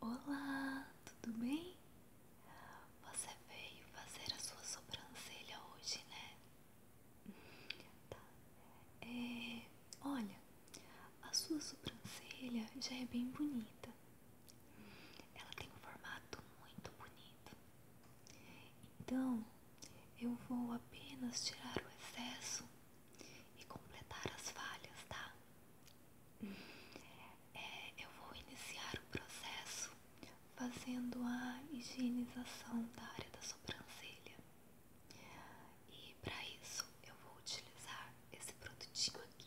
Olá, tudo bem? Você veio fazer a sua sobrancelha hoje, né? Tá. É, olha, a sua sobrancelha já é bem bonita. Ela tem um formato muito bonito. Então, eu vou apenas tirar o excesso e completar as falhas, tá? É, eu vou iniciar o processo fazendo a higienização da área da sobrancelha. E para isso eu vou utilizar esse produtinho aqui.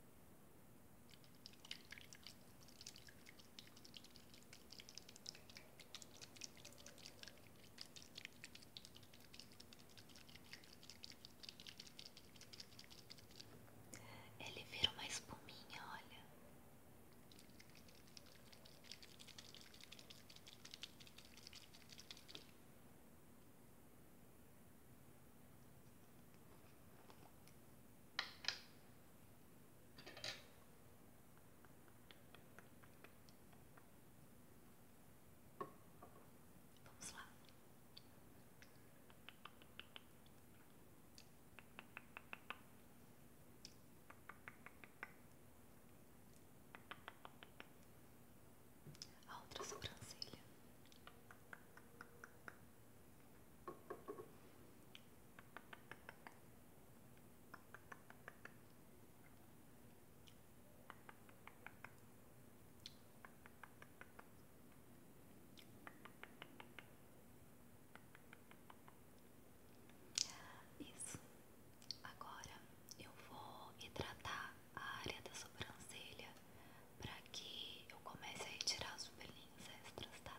Ele vira uma espuminha, olha. Vamos lá. outra sobrancelha. Isso. Agora eu vou hidratar a área da sobrancelha para que eu comece a retirar os pelinhos extras, tá? Tá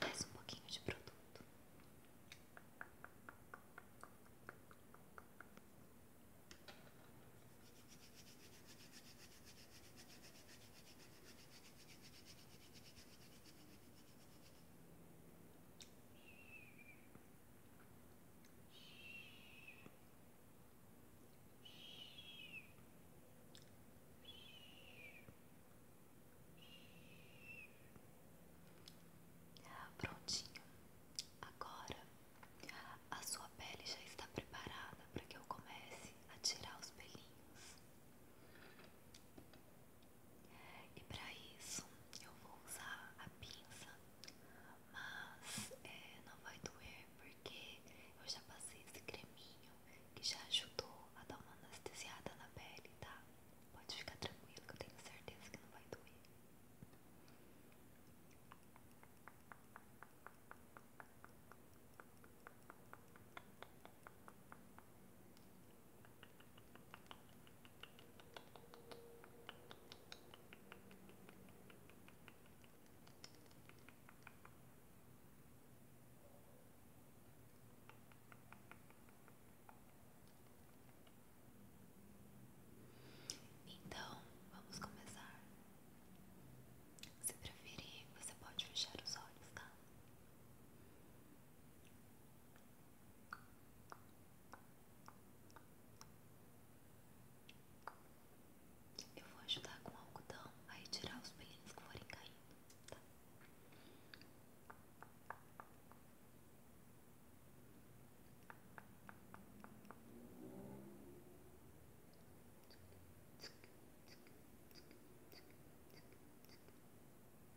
Mais um pouquinho de produto. Prontinho. Agora a sua pele já está preparada para que eu comece a tirar os pelinhos. E para isso eu vou usar a pinça, mas é, não vai doer porque eu já passei esse creminho que já ajudou a dar uma anestesiada na pele, tá? Pode ficar tranquilo eu tenho certeza que não vai doer. Então, vamos começar. Se preferir, você pode fechar os olhos, tá? Eu vou ajudar com o algodão a retirar os pelinhos que forem caindo, tá?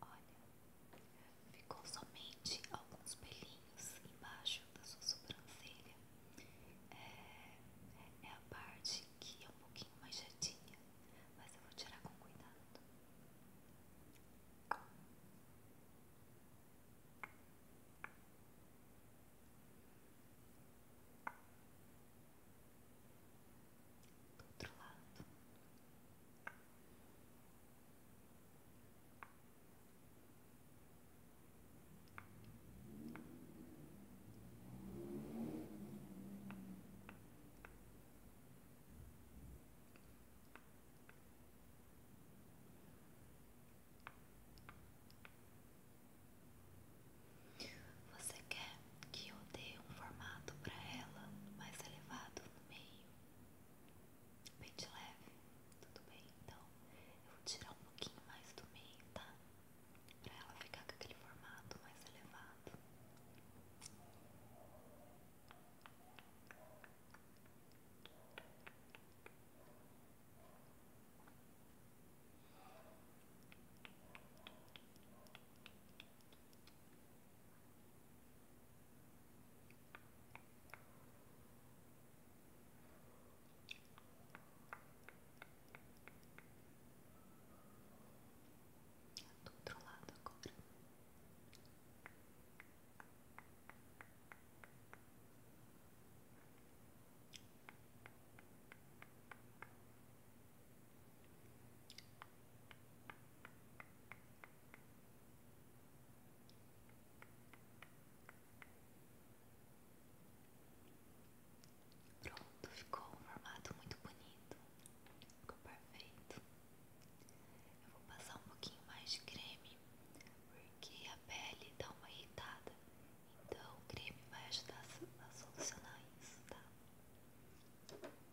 Olha, ficou somente alguns pelinhos embaixo da sua sobrancelha. É, é a parte que é um pouquinho mais manchadinha, mas eu vou tirar com cuidado. Olha, do outro lado. Você quer que eu dê um formato para ela mais elevado no meio, pente leve, tudo bem? Então eu vou tirar um pouquinho mais do meio, tá? Para ela ficar com aquele formato mais elevado. Do outro lado agora. Muito Pronto, ficou um formato muito bonito, ficou perfeito. Eu vou passar um pouquinho mais de creme, porque a pele dá uma irritada, então o creme vai ajudar a solucionar isso, tá?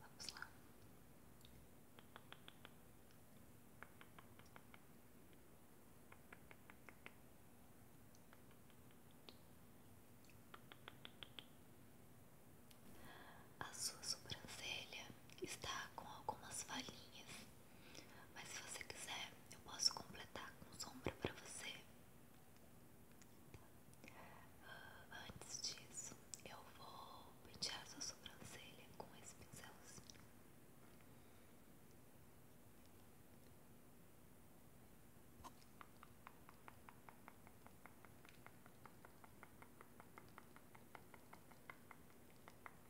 Vamos lá. A sua sobrancelha está com algumas falhinhas mas se você quiser, eu posso completar com sombra para você. Ah, antes disso, eu vou pentear sua sobrancelha com esse pincelzinho. Muito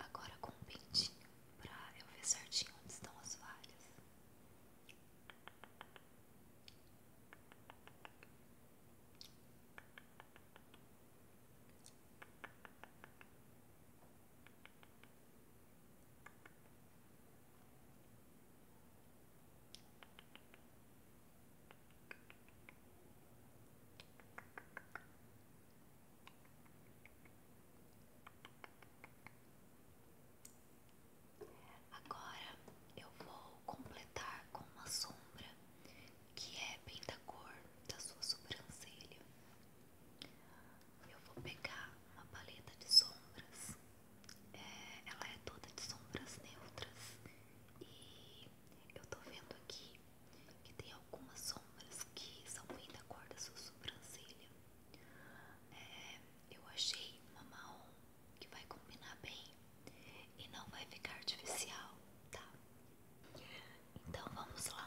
Agora com um pintinho pra eu ver certinho onde estão as falhas. Agora eu vou completar com uma sombra que é bem da cor da sua sobrancelha. Eu vou pegar uma paleta de sombras, é, ela é toda de sombras neutras e eu tô vendo aqui que tem algumas sombras que são bem da cor da sua sobrancelha. É, eu achei uma mão que vai combinar bem e não vai ficar artificial, tá? Então vamos lá.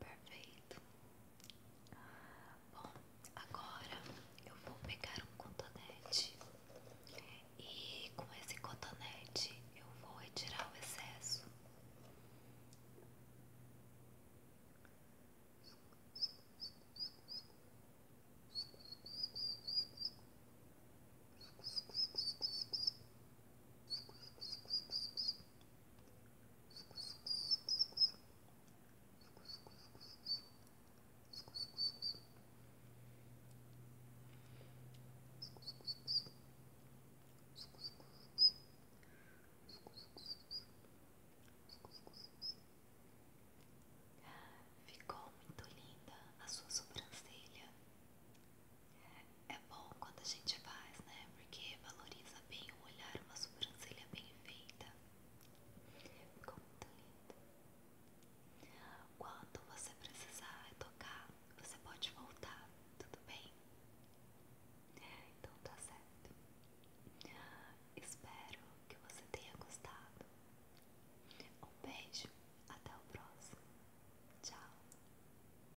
Perfeito. Bom, agora eu vou pegar um cotonete e com esse cotonete eu vou retirar o excesso. Ficou muito linda a sua sobrancelha. É bom quando a gente faz, né? Porque valoriza bem o olhar, uma sobrancelha bem feita. Ficou muito lindo. Quando você precisar tocar, você pode voltar, tudo bem? Então tá certo. Espero que você tenha gostado. Um beijo, até o próximo. Tchau.